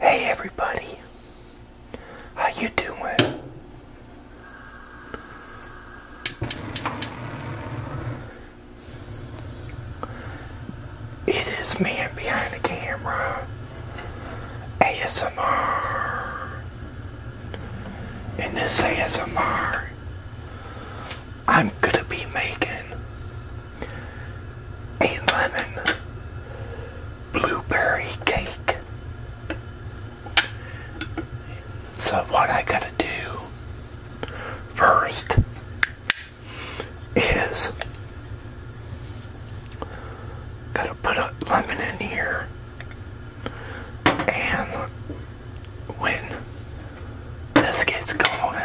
Hey everybody, how you doing? It is man behind the camera, ASMR, and this ASMR I'm gonna be making a lemon blueberry cake. So what I gotta do first is gotta put a lemon in here and when this gets going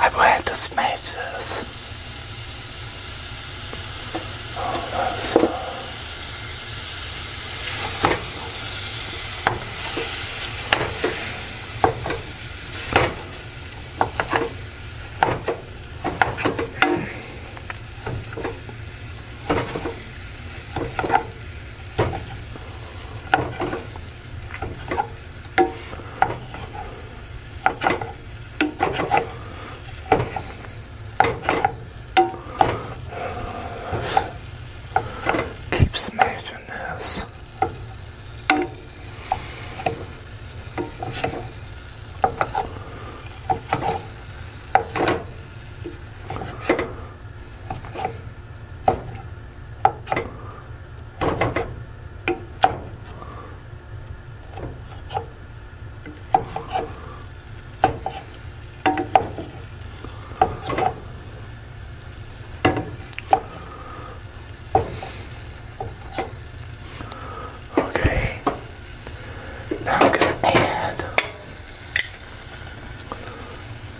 I will to smash this. Keep smashing this. Okay, now I'm gonna add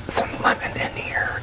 some lemon in here.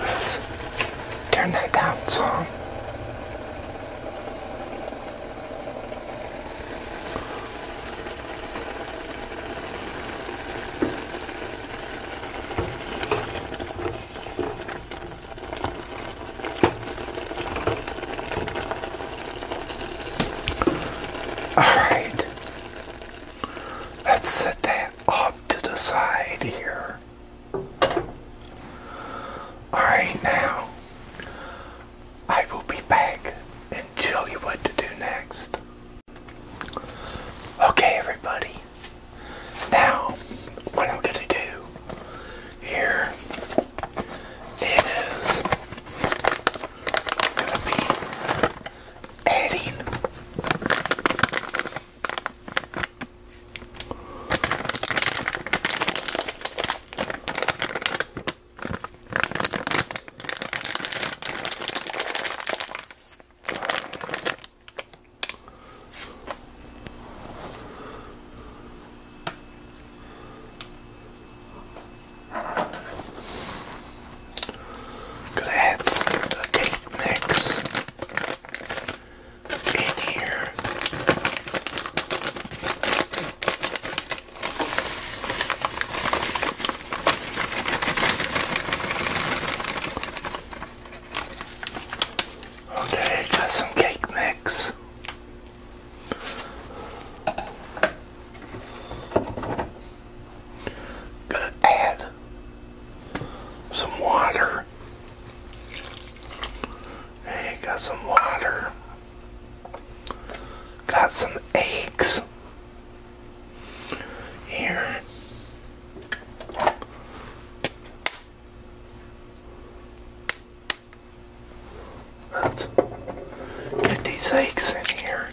Let's turn that down some. Alright, let's set that off to the side here. Alright, now I will be back and tell you what to do next. Okay, everybody. Now, what I'm going to do here. It is going to be adding could add some cake mix in here. Okay, got some cake mix. Gonna add some water. Hey, got some water. Got some eggs here. Let's get these eggs in here.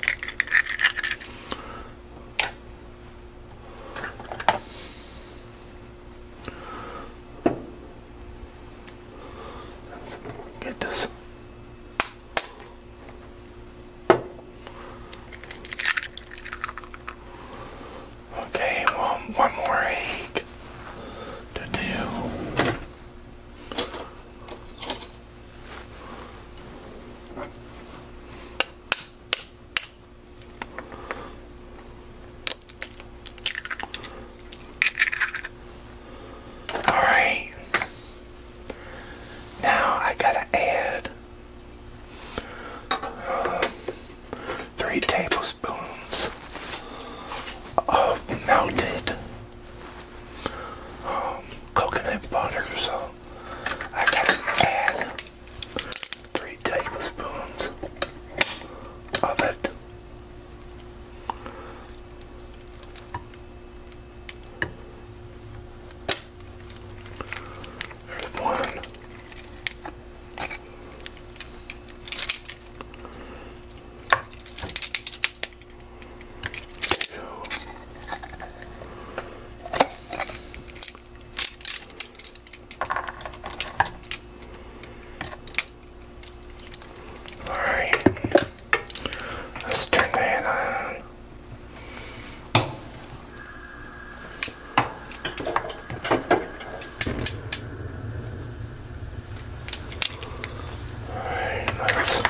Get this. Okay, one, more egg to do. All right. Now I gotta add um, three tablespoons of melted um, coconut butter, so I gotta add three tablespoons of it. one two, all right, let's turn that on. Alright, let's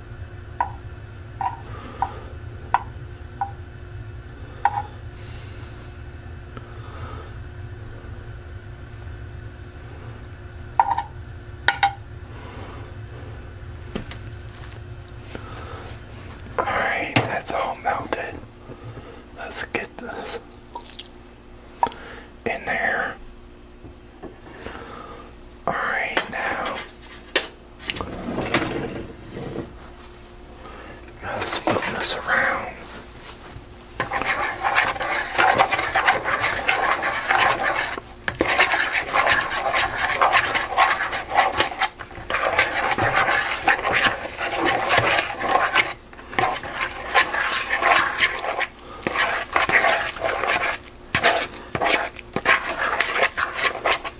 All right, that's all melted. Let's get this in there. All right, now Let's put this around.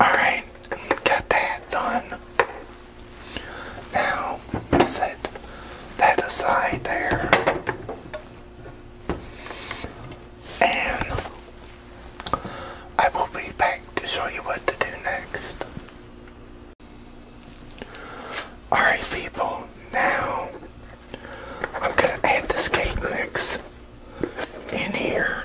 Alright, got that done. Now, set that aside there. And I will be back to show you what to do next. Alright people, now I'm going to add this cake mix in here.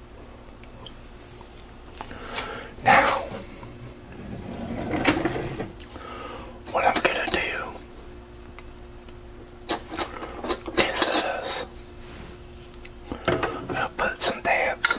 Now, what I'm going to do is I'm going to put some dabs.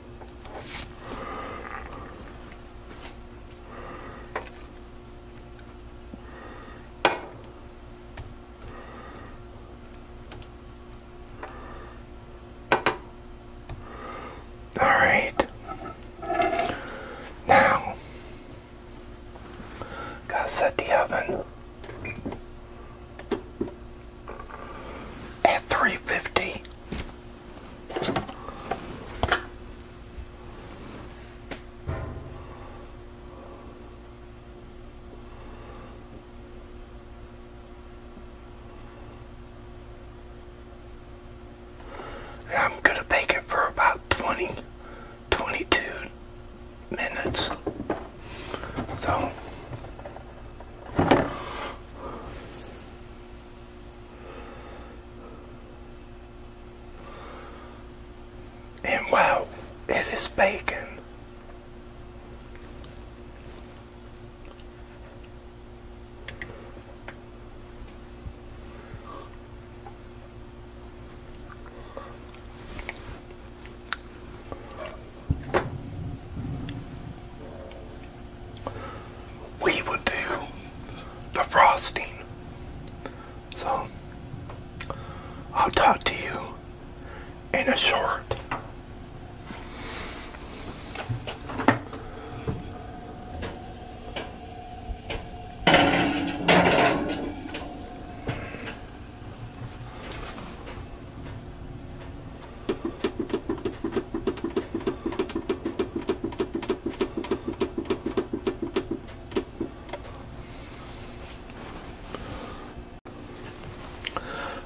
All right. Now, gotta set the oven at 350 I'm going to bake it for about 20, 22 minutes. So, and wow, it is bacon we would do the frosting. So, I'll talk to you in a short.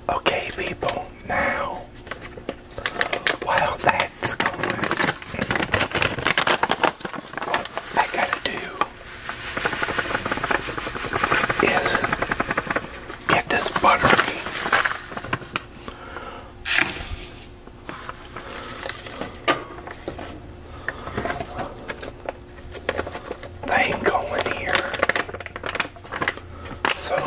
Okay, people, now while that's going, what I gotta do is get this buttery they ain't going here. So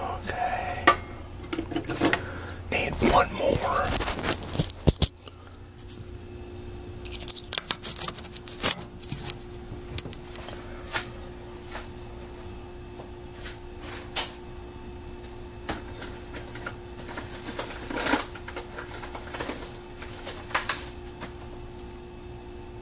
Okay. Need one more.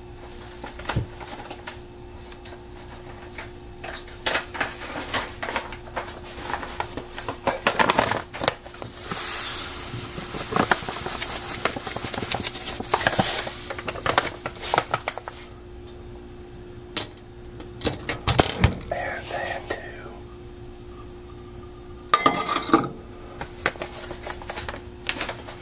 And then two.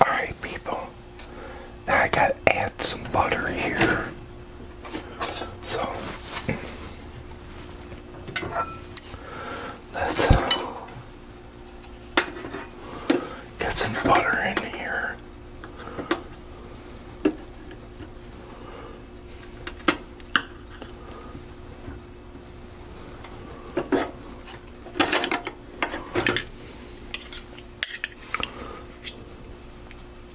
Alright people, I gotta add some butter here. So let's uh, get some butter in here.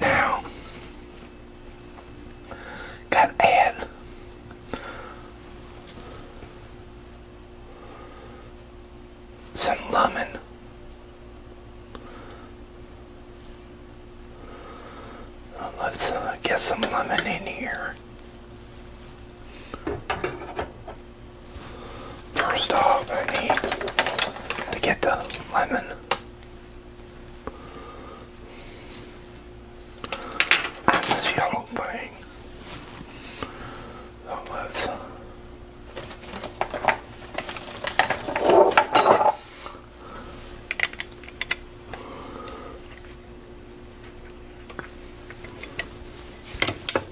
Now, gotta add some lemon. let's uh, get some lemon in here. First off, I need to get the lemon. this yellow thing. let's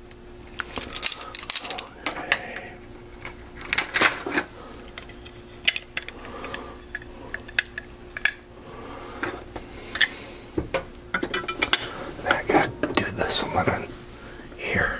Okay. And I gotta do this one on here.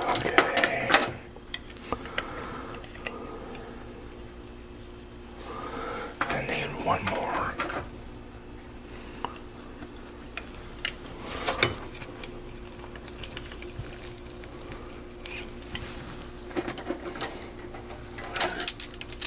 Okay. I need one more.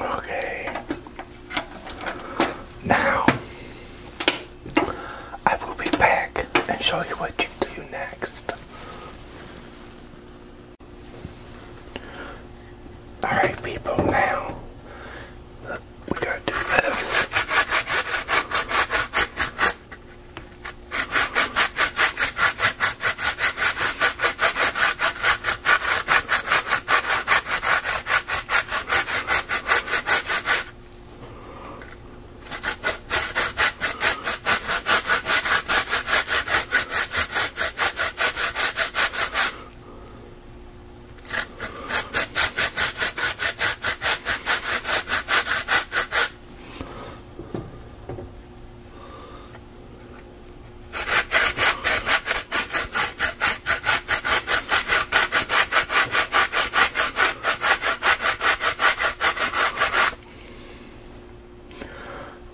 Okay. Now, I will be back and show you what you do next. Alright, people, now we go do this.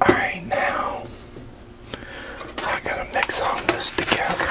All right, now I gotta mix all this together.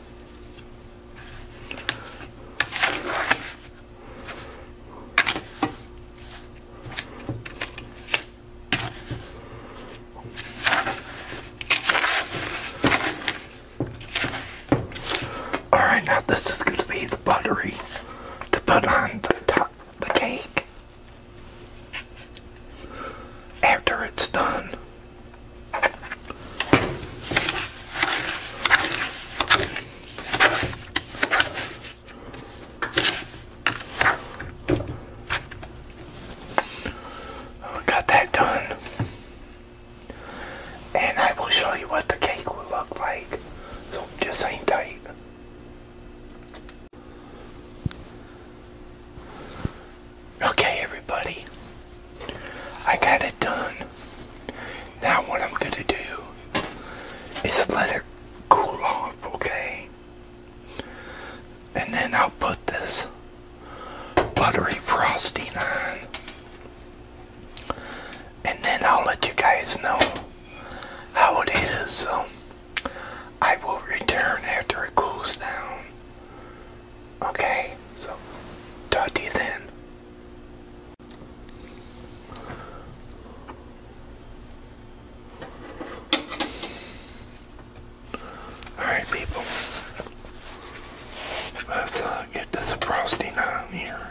All right, now this is going to be the buttery to put on the top of the cake after it's done. We got that done. And I will show you what the cake will look like. So just hang tight. Okay, everybody, I got it done. Now, what I'm going to do is let it cool off, okay? And then I'll put this buttery frosting on. And then I'll let you guys know how it is. So I will return after it cools down. Okay, so talk to you then. Alright, people. Let's uh, get this frosting on here.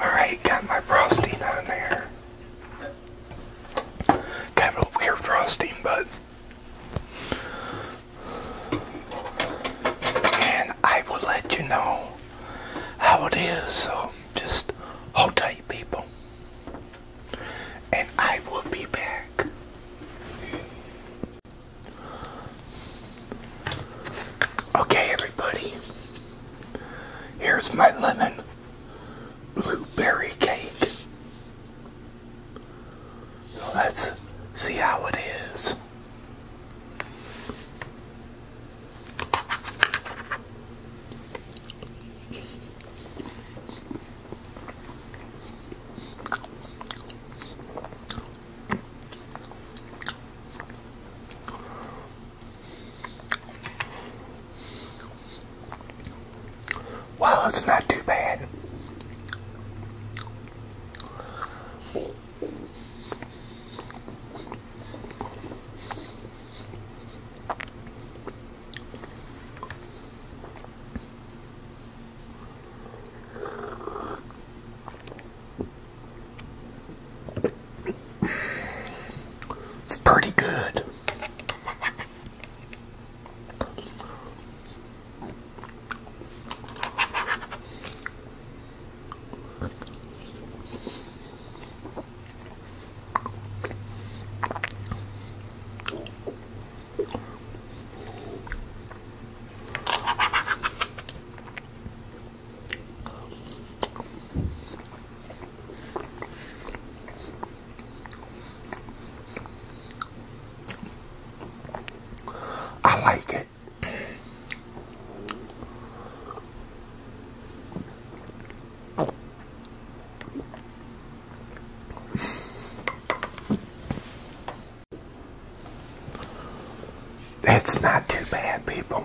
Alright, got my frosting on there. Kind of a weird frosting, but. And I will let you know how it is, so just hold tight, people. And I will be back. Okay, everybody. Here's my lemon blueberry cake. Let's see how it is. Wow, it's not too bad. It's pretty good. I like it. That's not too bad, people.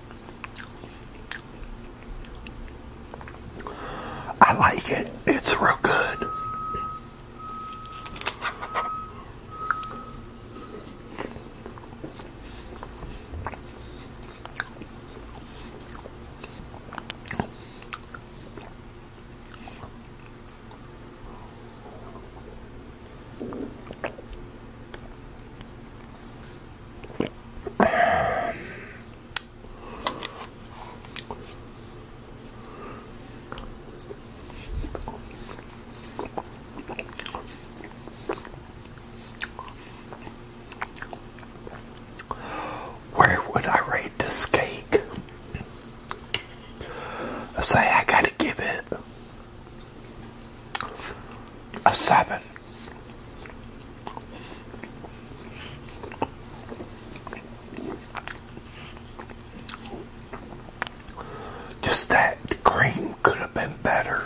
I like it. It's real good. Where would I rate this cake? I say I gotta give it a seven. Just that the cream could have been better.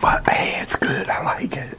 But hey, it's good. I like it.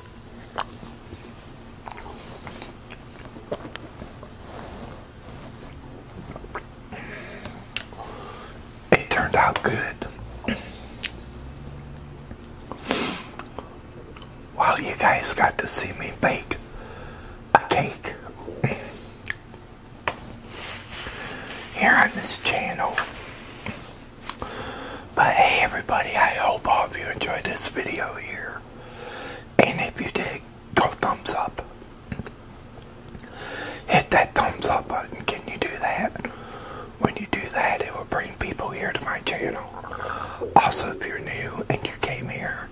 It turned out good. Wow, you guys got to see me bake a cake here on this channel. But hey everybody, I hope all of you enjoyed this video here. And if you did, go thumbs up. Hit that thumbs up button. Can you do that? When you do that, it will bring people here to my channel. Also, if you're new and you came here,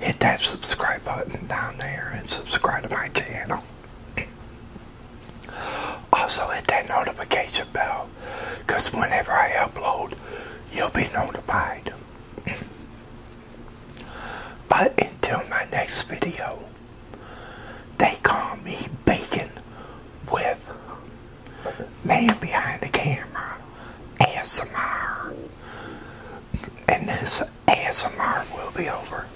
hit that subscribe button down there and subscribe to my channel. Also, hit that notification bell because whenever I upload, you'll be notified. but until my next video, they call me Bacon with Man Behind the Camera ASMR. And this ASMR will be over.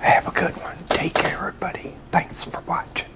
Have a good one. Take care, everybody. Thanks for watching.